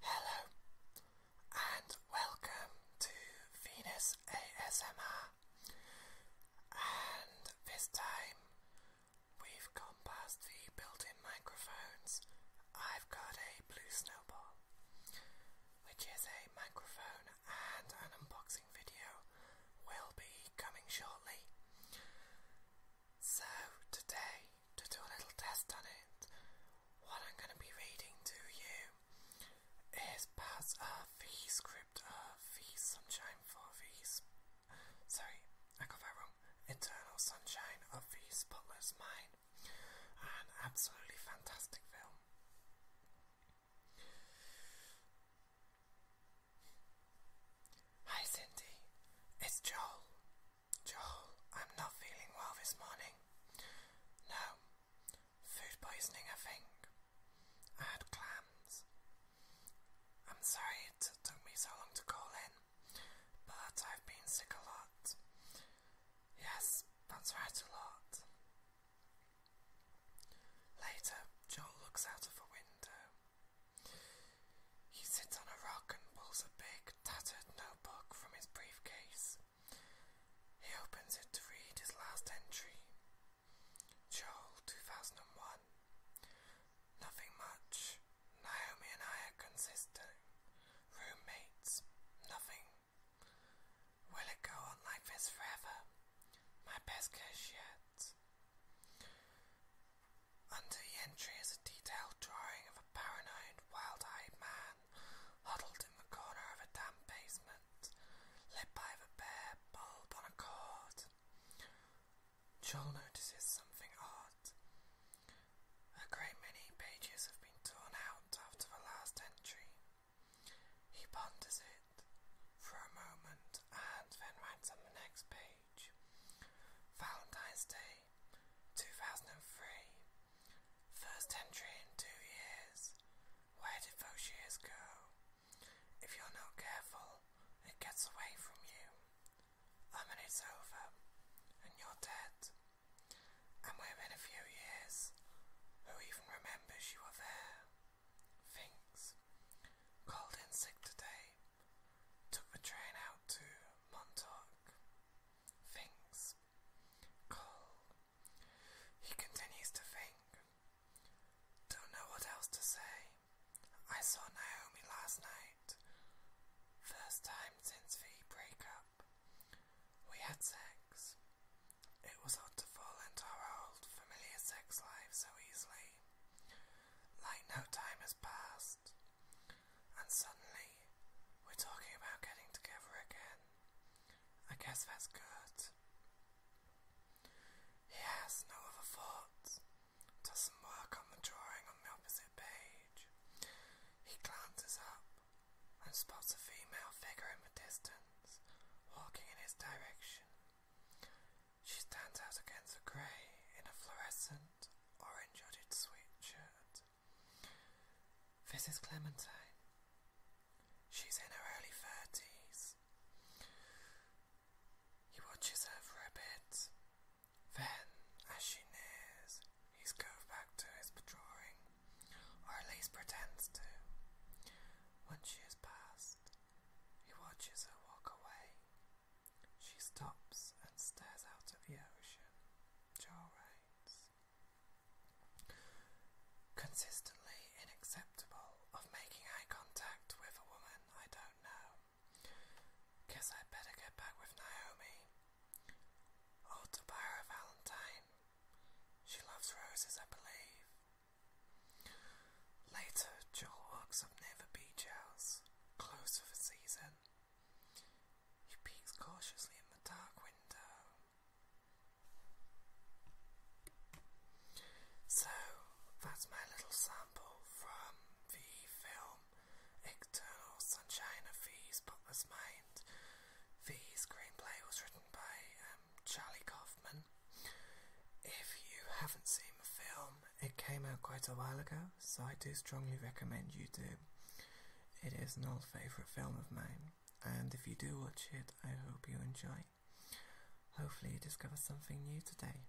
Hello and welcome to Venus ASMR. And this time we've gone past the built in microphones. I've got a blue snowball, which is a microphone and an unboxing unboxing video will be coming shortly. So today, to do a little test on it, what I'm going to be reading to you is parts of the script of the Sunshine for the... Sorry, I got that wrong. Internal Sunshine of the Spotless Mind. An absolutely fantastic film. Hi Cindy, it's Joel. Joel, I'm not feeling well this morning. No, food poisoning, I think. I had clams. I'm sorry it took me so long to call in, but I've been sick a lot. Yes, that's right, a lot. Later, Joel looks out of a window. He sits on a rock and pulls a big, tattered notebook from his briefcase. He opens it to read his last entry. Joel, 2001. Nothing much. Naomi and I are consistent. Roommates. Nothing Will it go on like this forever? My best guess yet. Under the entry is a detailed drawing of a paranoid, wild-eyed man huddled in the corner of a damp basement, lit by the bare bulb on a cord. Joel notices something odd. A great many pages have been torn out after the last entry. He ponders it for a moment and then writes on the next page Valentine's Day 2003. First entry in two years. Where did those years go? If you're not careful, it gets away from you. I mean, it's over, and you're dead and within a few years, who even remembers you were there, thinks, called in sick today, took the train out to Montauk, thinks, call. He continues to think, don't know what else to say. I saw Naomi last night, first time since we the up. We had sex. It was hard to fall into our old familiar sex life so easily. Like no time has passed. And suddenly, we're talking about getting together again. I guess that's good. He has no other thoughts. Does some work on the drawing on the opposite page. He glances up and spots a female figure in the distance, walking in his direction. She stands out against the grey in a fluorescent, orange hooded sweatshirt. This is Clementine. She's in her early thirties. He watches her for a bit. Then, as she nears, He's gone back to his drawing, or at least pretends to. When she has passed, he watches her walk away. She stops and stares out at the ocean. Joe writes, consistently unacceptable of making eye contact with a woman I don't know. Guess i better get back with Naomi. Oh, Tabara Valentine. She loves roses, I believe. Later, Joel walks up near the beach house, close for the season. He peeks cautiously in the dark window. So, that's my little sample from the film External Sunshine of Fee's Bookless Mind. Fee's screenplay was written by um, Charlie Kaufman. If you haven't seen the film, it came out quite a while ago, so I do strongly recommend you do. It is an old favourite film of mine, and if you do watch it, I hope you enjoy. Hopefully, you discover something new today.